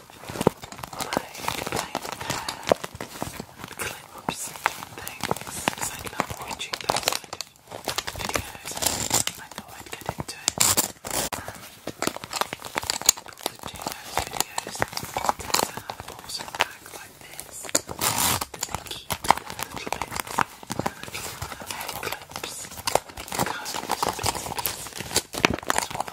and clips and things because I love watching those kind of videos. I thought I'd get into it. And people videos tend to have like this that little clips, because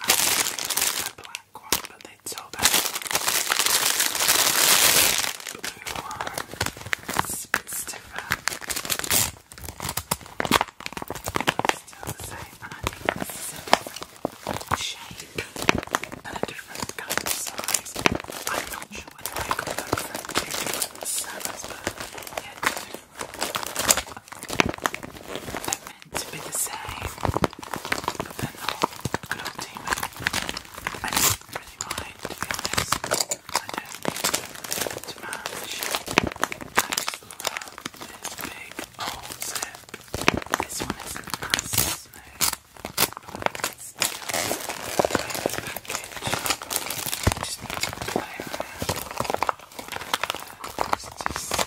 I black one, but they told us the blue one. It's a bit It's still the same, and I think this is a shape and a different size. I'm not sure whether I got them from two different sellers, but yeah, they're meant to be the same, but they're not. Good old I don't really mind, I don't need to match. I just love this big old zip. This one is nice and smooth, but it's still a package. I just need to play around.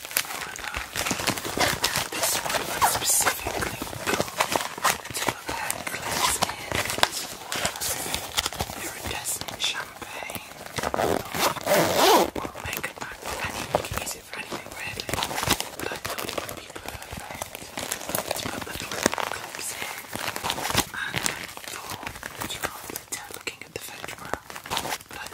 this one was specifically good to have had cleansed hands for iridescent champagne. Or makeup back, and you can use it for anything really. But it would be perfect to put little clips in. And I thought you can't really looking at the photograph, but I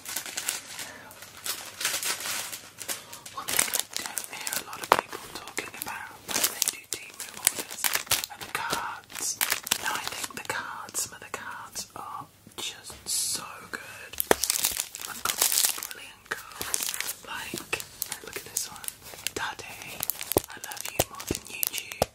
One thing I don't hear a lot of people talking about when they do team cards. Now I think the cards, some of the cards are just so good. I've got brilliant cards. Like, look at this one. Daddy, I love you more than YouTube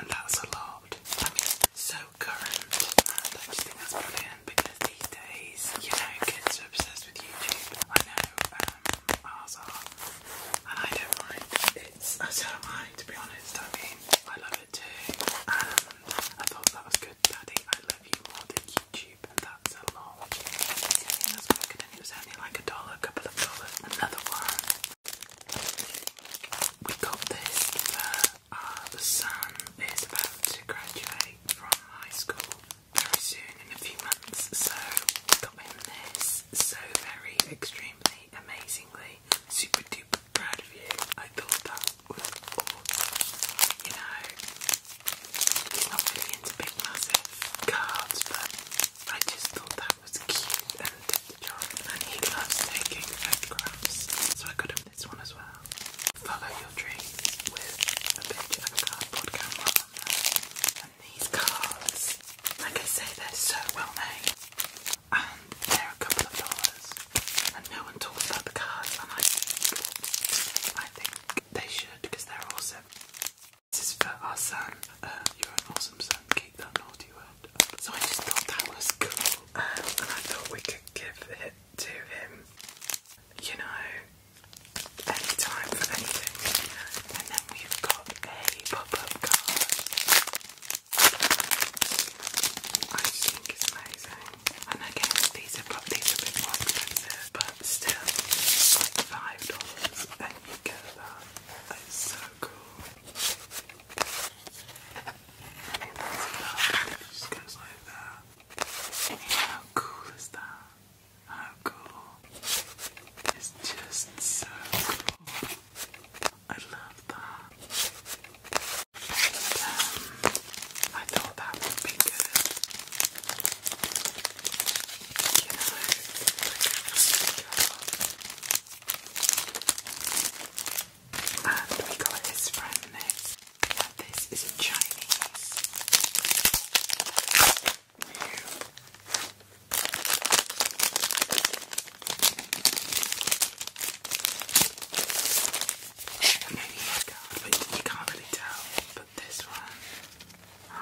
and that's a lot. I mean, so current, and I just think that's brilliant because these days, you know, kids are obsessed with YouTube. I know um, ours are, and I don't mind. It's I uh, so am I, to be honest. I mean, I love it too, and I thought that was good, Daddy. I love you more than YouTube, and that's a lot. The only thing that's broken in it was only like a dollar, a couple of dollars. Another one. We got this uh, uh, the son is about to graduate from high school very soon in a few months, so got him this. So very, extremely, amazingly, super duper proud of you. I thought that was awesome. You know, he's not really into big massive cards, but I just thought that was cute and he loves taking photographs, so I got him this one as well. Follow your dreams with a bit camera And these cards, like I say, they're so well made, and they're a couple of dollars, and no one talks about the cards, and I I think they should because they're awesome. This is for our son. Uh, you're an awesome son. Keep that naughty work so I just thought that was cool, um, and I thought we could give it to him. You know, any time for anything. And then we've got a pop-up card. I think it's amazing. And again, these are these are a bit more expensive, but still, like five dollars, and you get that. It's so cool how cool is that? How cool. It's just so cool. I love that. I thought that would be good. You know, and we got this from this is in Chinese. card, you can't really tell. But this one.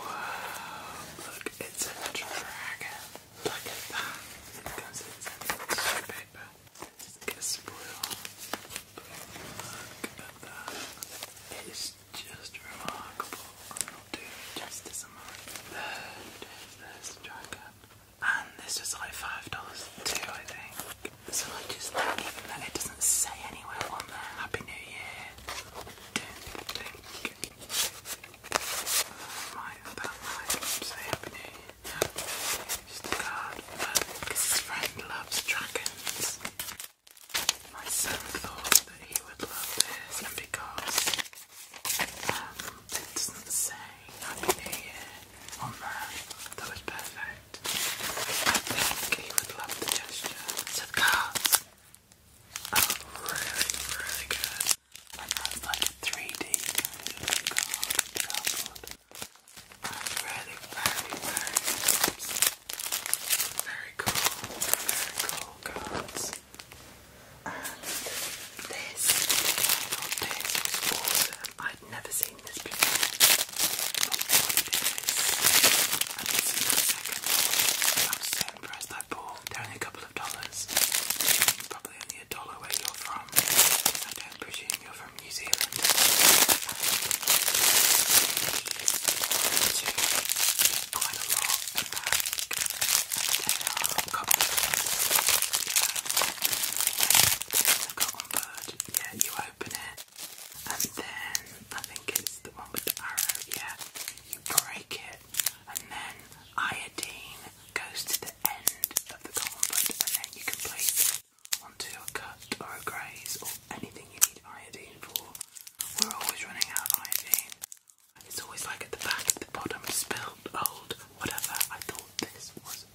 whoa, look, it's a dragon. Look at that. It comes in tissue paper. It get spoiled. Look at that. It is just remarkable. I'm not doing justice, am I? There is this dragon. And this was like $5 too, I think. So I just like that it doesn't say anywhere on there. Happy New Year. Don't think. I that might say Happy New Year. Here's card, because his friend loves dragons. My son thought that he would love this, and because um, it doesn't say Happy New Year on there, that was perfect. I think he would love the gesture. So the cards really, really good and that's like 3D kind of card, I'm very, very very cool, very cool cards. And this, I got this, was awesome. I'd never seen this before. But this, and this is my second one. I was so impressed I bought, only a couple of dollars. Probably only a dollar where you're from from. I presume you're from New Zealand. They quite a lot of back. They are common bird. Yeah, you open it. And then I think it's the one with the arrow. Yeah, you break it and then iodine goes to the end of the goblet, and then you can place it onto a cut or a graze or anything you need iodine for. We're always running out of iodine. It's always like at the back, at the bottom, spilled, old, whatever. I thought this was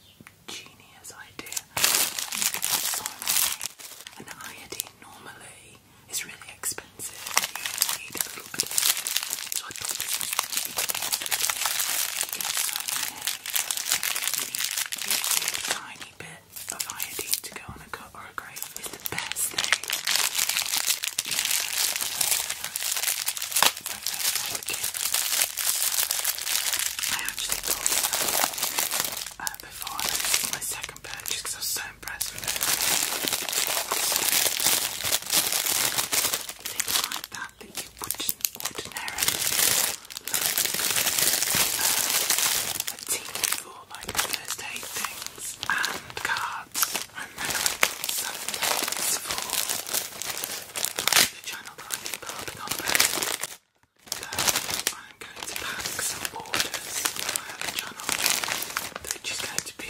genius idea. so many. And iodine normally is really expensive. So I thought this was so tiny bit of iodine to go on a cut or a grave is the best thing. I actually bought this uh, before I did my second purchase because I was so impressed with it. things like that think you wouldn't ordinarily look uh, for like Thursday things and cards and then Sundays for the channel that I've been on both. Uh, so I'm going to pack some orders for my other channel, which is going to be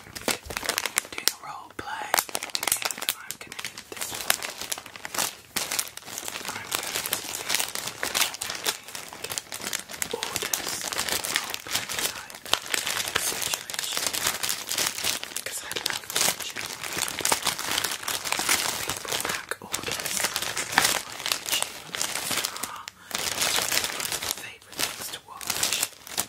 doing a role play. I'm gonna get this one. I'm going to orders role play type because I love watching people pack orders on YouTube. It's favourite things to watch.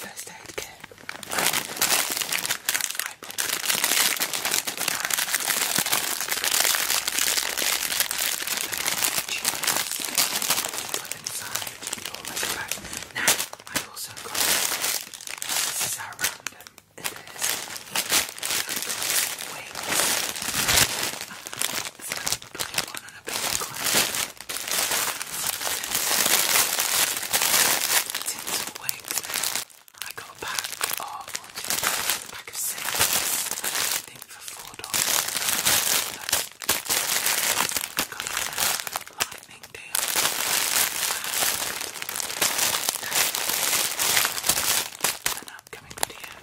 First aid kit. I put inside your leather bag. Now, I've also got this is how random it is. I've got wings. Uh, putting one on a paper clip. Tinsel wigs. I got a pack of a six. I think for four dollars. Got a lightning deal. an upcoming video.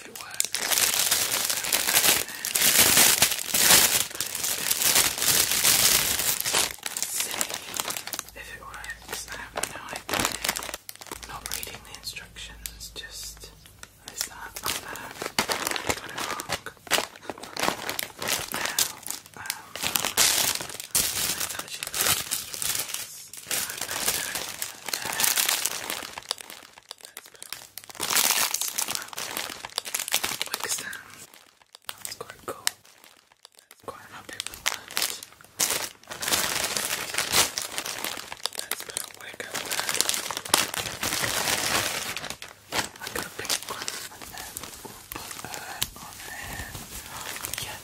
if it works. if it works. I have no idea. not reading the instructions, just what is that? Oh no, I wrong. Now, um, let instructions. Quick stand. That's quite cool. quite happy with that. Let's put wig over there. I got a one and uh, Yes,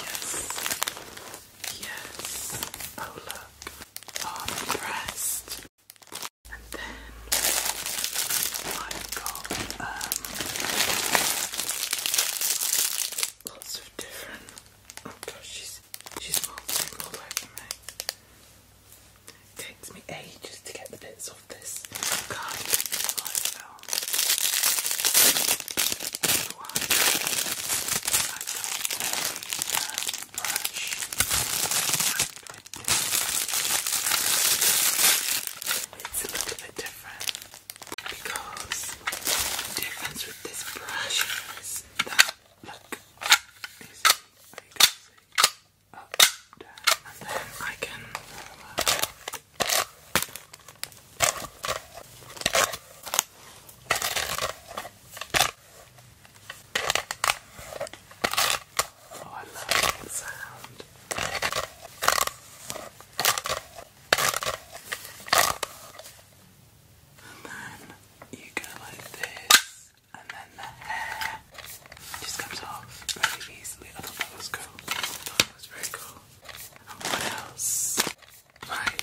yes. Yes. Oh look. Oh, And then I've got um, lots of different. Oh gosh, she's she's molting all over takes me ages to get the bits off this card. Um, brush It's a little bit different because the difference with this brush is that look. up, down, and then I can. Oh, I love the sound. And then you go like this, and then the hair just comes off really easily. I thought that was cool. that was very cool. what else? Right.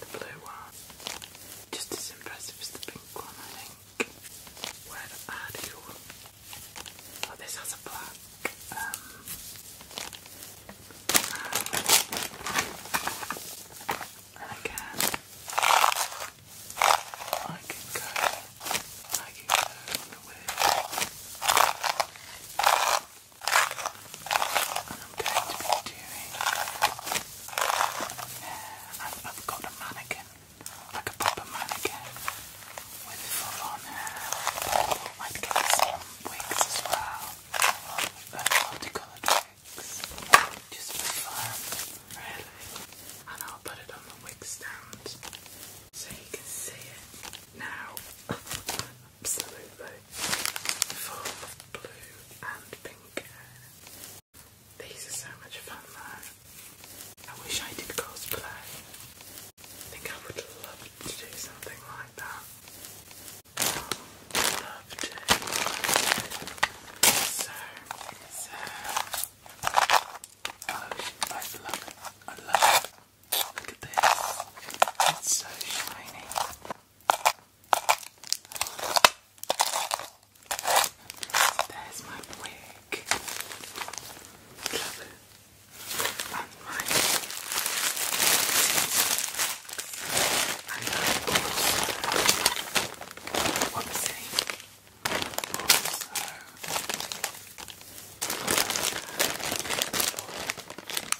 the blue one. Just as impressive as the pink one, I think. Where are you? Oh, this has a black. Um, and again, I can go, I can go with and I'm going to be doing. I've, got a mannequin, like a proper mannequin, with full on hair. I might get some wigs as well, uh, multicoloured wigs, just for fun, really. And I'll put it on the wig stand so you can see it now. absolutely full blue and pink These are so much fun though. I wish I did cosplay. I think I would love to do something like that. I'd love to. So, so. Oh, I love it. I love it. Look at this. It's so shiny. There's my wig. Love it. And my and also, what uh, was it? Also,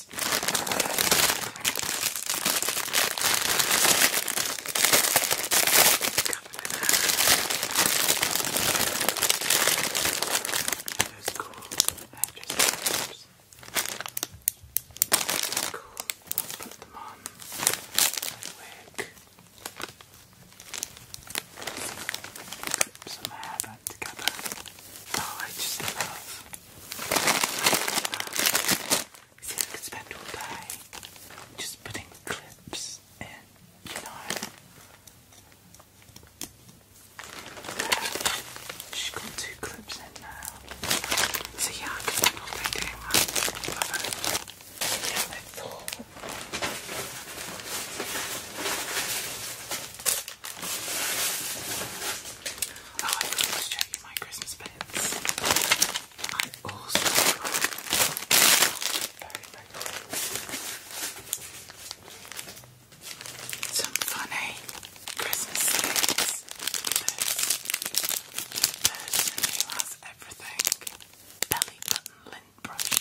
this. Those cool hairdressers. Cool. I'll put them on. Work. Put some hair together. Oh, I just love. I could spend all day just putting clips in, you know. She's got two clips in now. So I can not all day doing one. Oh, I really was checking my Christmas bits. I also got some funny Christmas things. This person has everything belly button lint brush.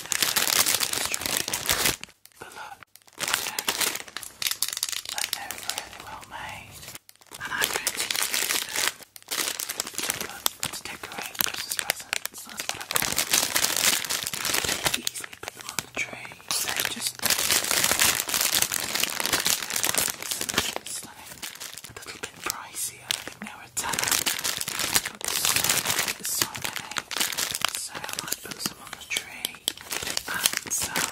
But look, they're really well made. And I'm going them to, to decorate Christmas presents. That's what I want. You can easily put on the tree. So just A little bit pricey, I think now Nutella. I put so many, so I put some on the tree and some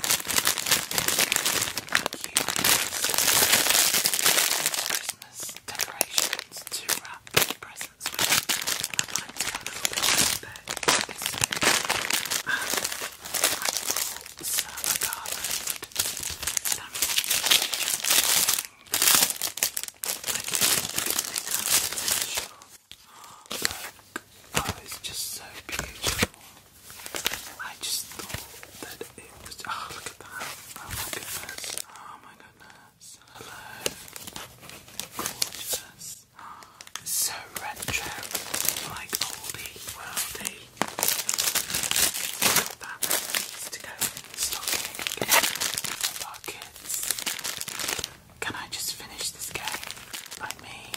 Christmas decorations to wrap presents with. I'd like a little bit this year. Um, I am going to Oh, oh, it's just so beautiful. I just thought that it was. Oh, look at that. Oh my goodness. Oh, Hello. Gorgeous. so retro. Like oldie, worldy. Look that. It needs can I just finish this game by me?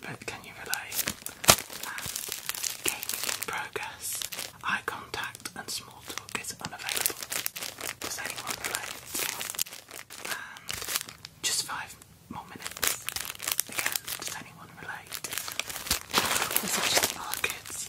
But can you relate? And ah, in progress. Eye contact and small talk is unavailable. Does anyone relate? just five more minutes. Again, does anyone relate? There's actually markets.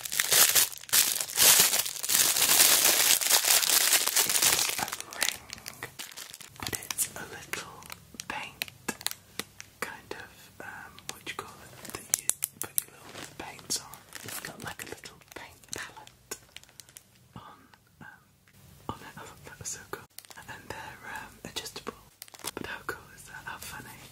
It's a ring, but it's a little paint kind of, um, what you call it, that you put your little paints on. It's got like a little paint palette on, um, on it. I oh, thought that was so cool. And they're um, adjustable. But how cool is that? How funny.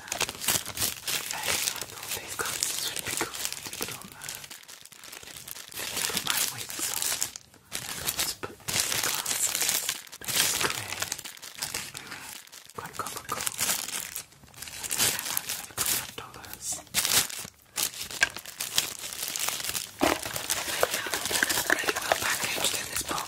know they've got sweet but on there. I've got my let's put glasses. They're clear. quite comical. And they came out dollars. They come really well packaged this box.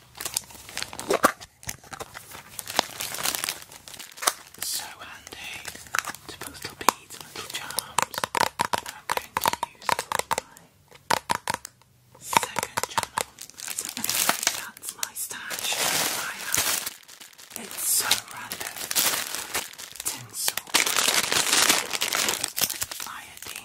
It's so handy to put little beads and little charms I'm going to use my second channel. that's my stash It's so random. Tinsel. Iodine.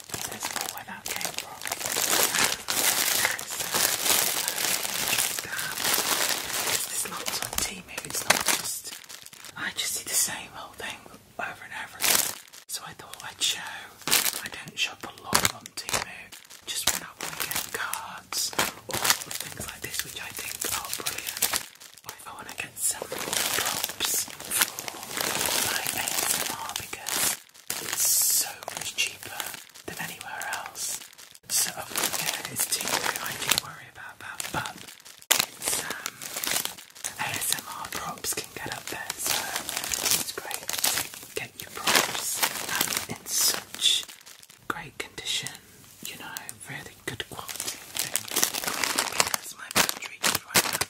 That's not where that came from. Uh, it's not just. I just see the same old thing over and over again. So I thought I'd show. I don't shop a lot on TV. Just when I want to get cards or things like this, which I think are brilliant. Or I want to some props for my ASMR because it's so much cheaper than anywhere else. So oh, yeah, it's too TV I do worry about that, but it's um, ASMR props can get up there, so it's great get your props um, in such great condition, you know, really good quality things. my battery is right of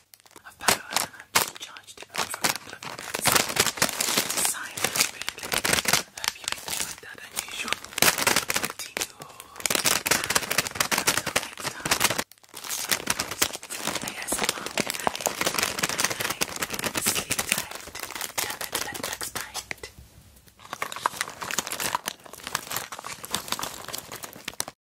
power and I just charged it up for a couple of minutes. Silently, hope you enjoyed that unusual video. Until next time. Yes, mom. Good night. Good night. Sleep tight. Don't let bugs